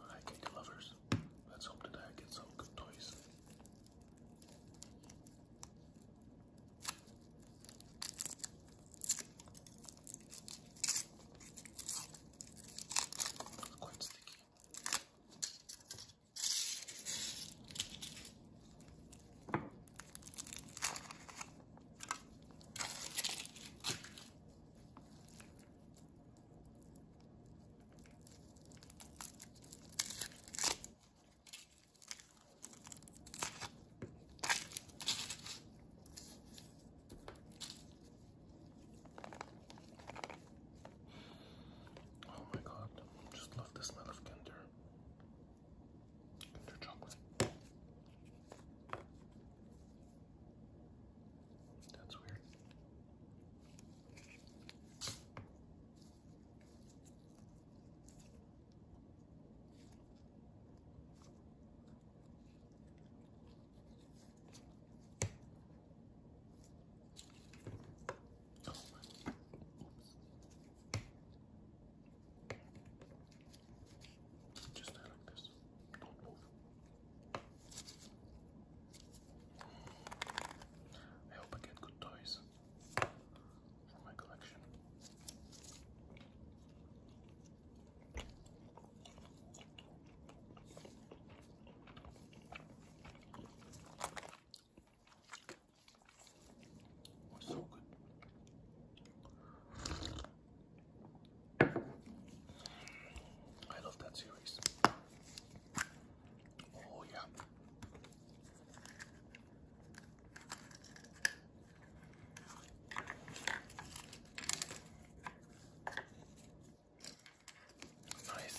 Hi, candy lovers. Let's hope today I get some good toys. Oh my god, just love the smell of ginger into chocolate. That's weird. Oh, just stay like this. Don't move. I hope I get good toys for my collection was so good. I love that series. Oh, yeah. Nice.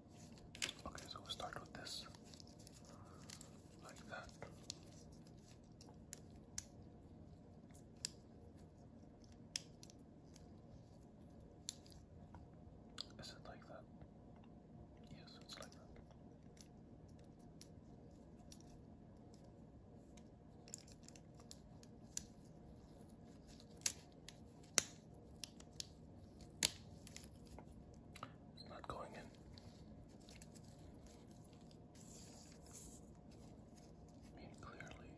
Okay, so we'll start with this. Like that. Is it like that? Yes, it's like that. It's not going in. I clearly,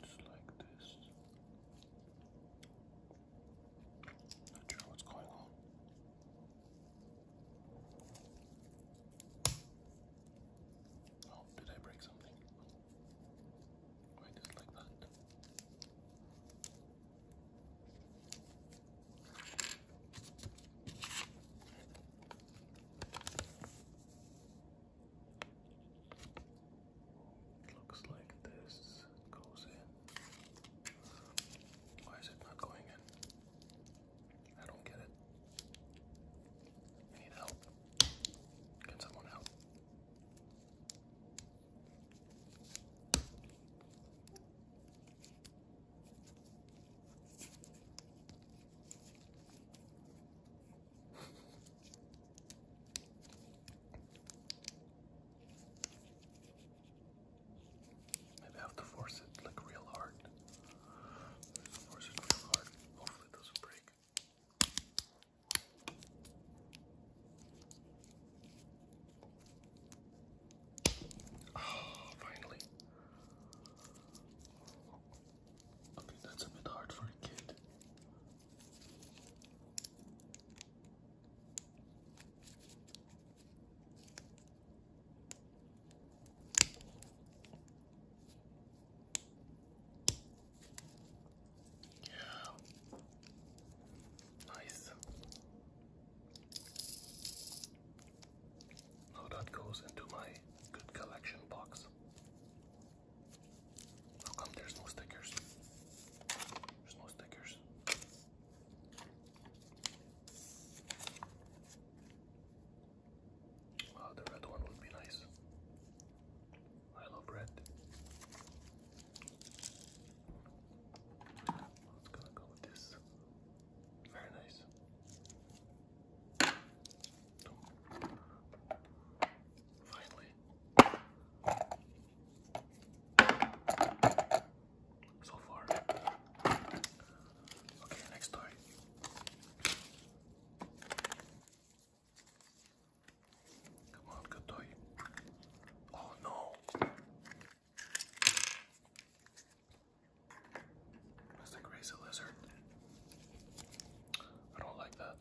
just like this. Not sure what's going on. Oh, did I break something? Right, just It looks like this goes in. Why is it not going in? I don't get it. I need help. Can someone help? Maybe I have to force it like real hard. Force it real hard. Hopefully it doesn't break. Oh, finally. Okay, that's a bit hard for a kid. Nice. Now that goes into my good collection box. How come there's no stickers? There's no stickers. Uh, the red one would be nice. I love red. let gonna go with this. Very nice. Finally. So far. Okay, next story. Come on, good toy. Oh no. Must I lizard? I don't like that.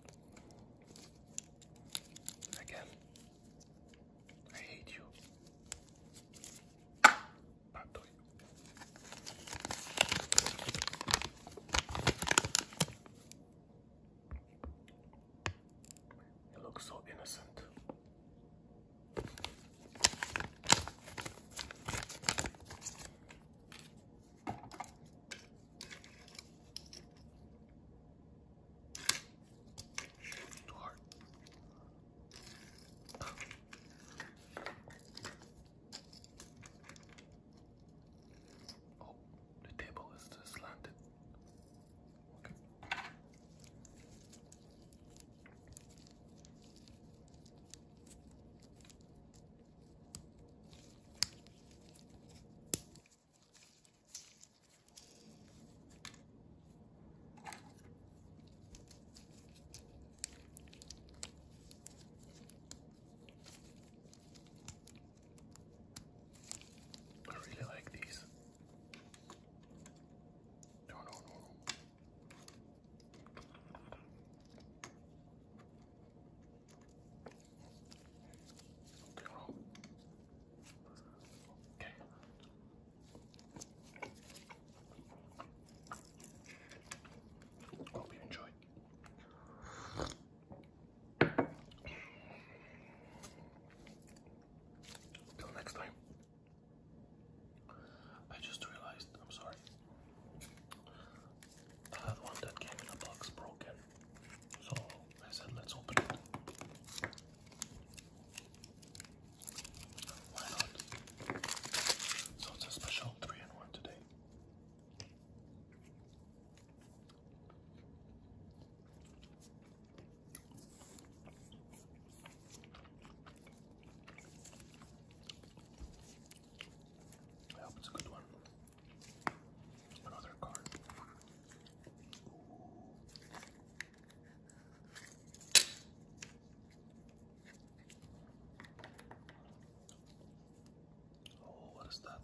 Again, I hate you. Bad toy. It looks so innocent. Too hard. Oh, the table is slanted. Okay. I really like these. No, no, no, Okay, Okay. Hope you enjoyed. Till next time. I just realized, I'm sorry. I had one that came in a box broken. So I said, let's open it. Why not? So it's a special three and one today. I hope it's a good one. Another card. Ooh. Oh, what is that?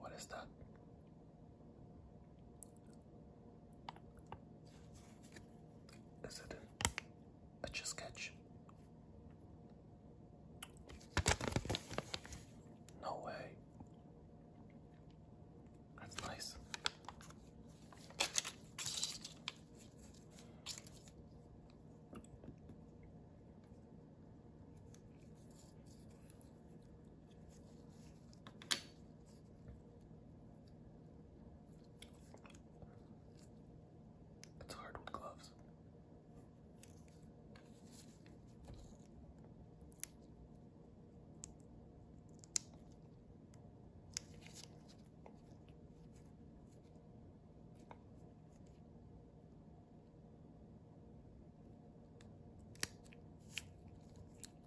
What is that? Is it a chess No way. That's nice. It's hard with gloves.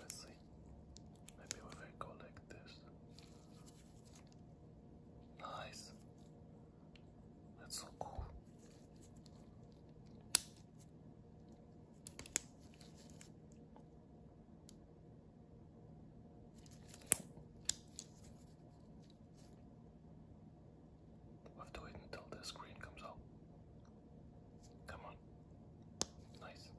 Let's see. Maybe when I go this. Nice. That's so cool we have to wait until the screen comes out. Come on. Nice.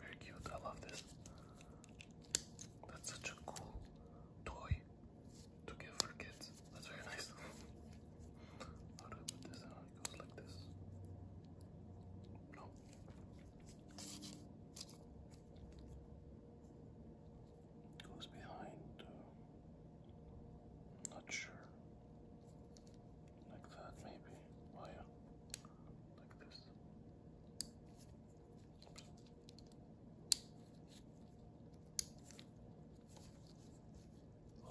Very cute, I love this. That's such a cool toy to give her kids. That's very nice. How do put this on? It goes like this. No. Goes behind. Uh, not sure. Like that, maybe. Oh yeah. Like this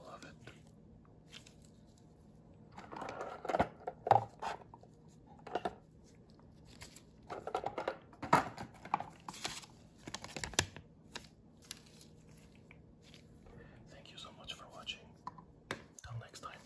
love it. Thank you so much for watching. Till next time.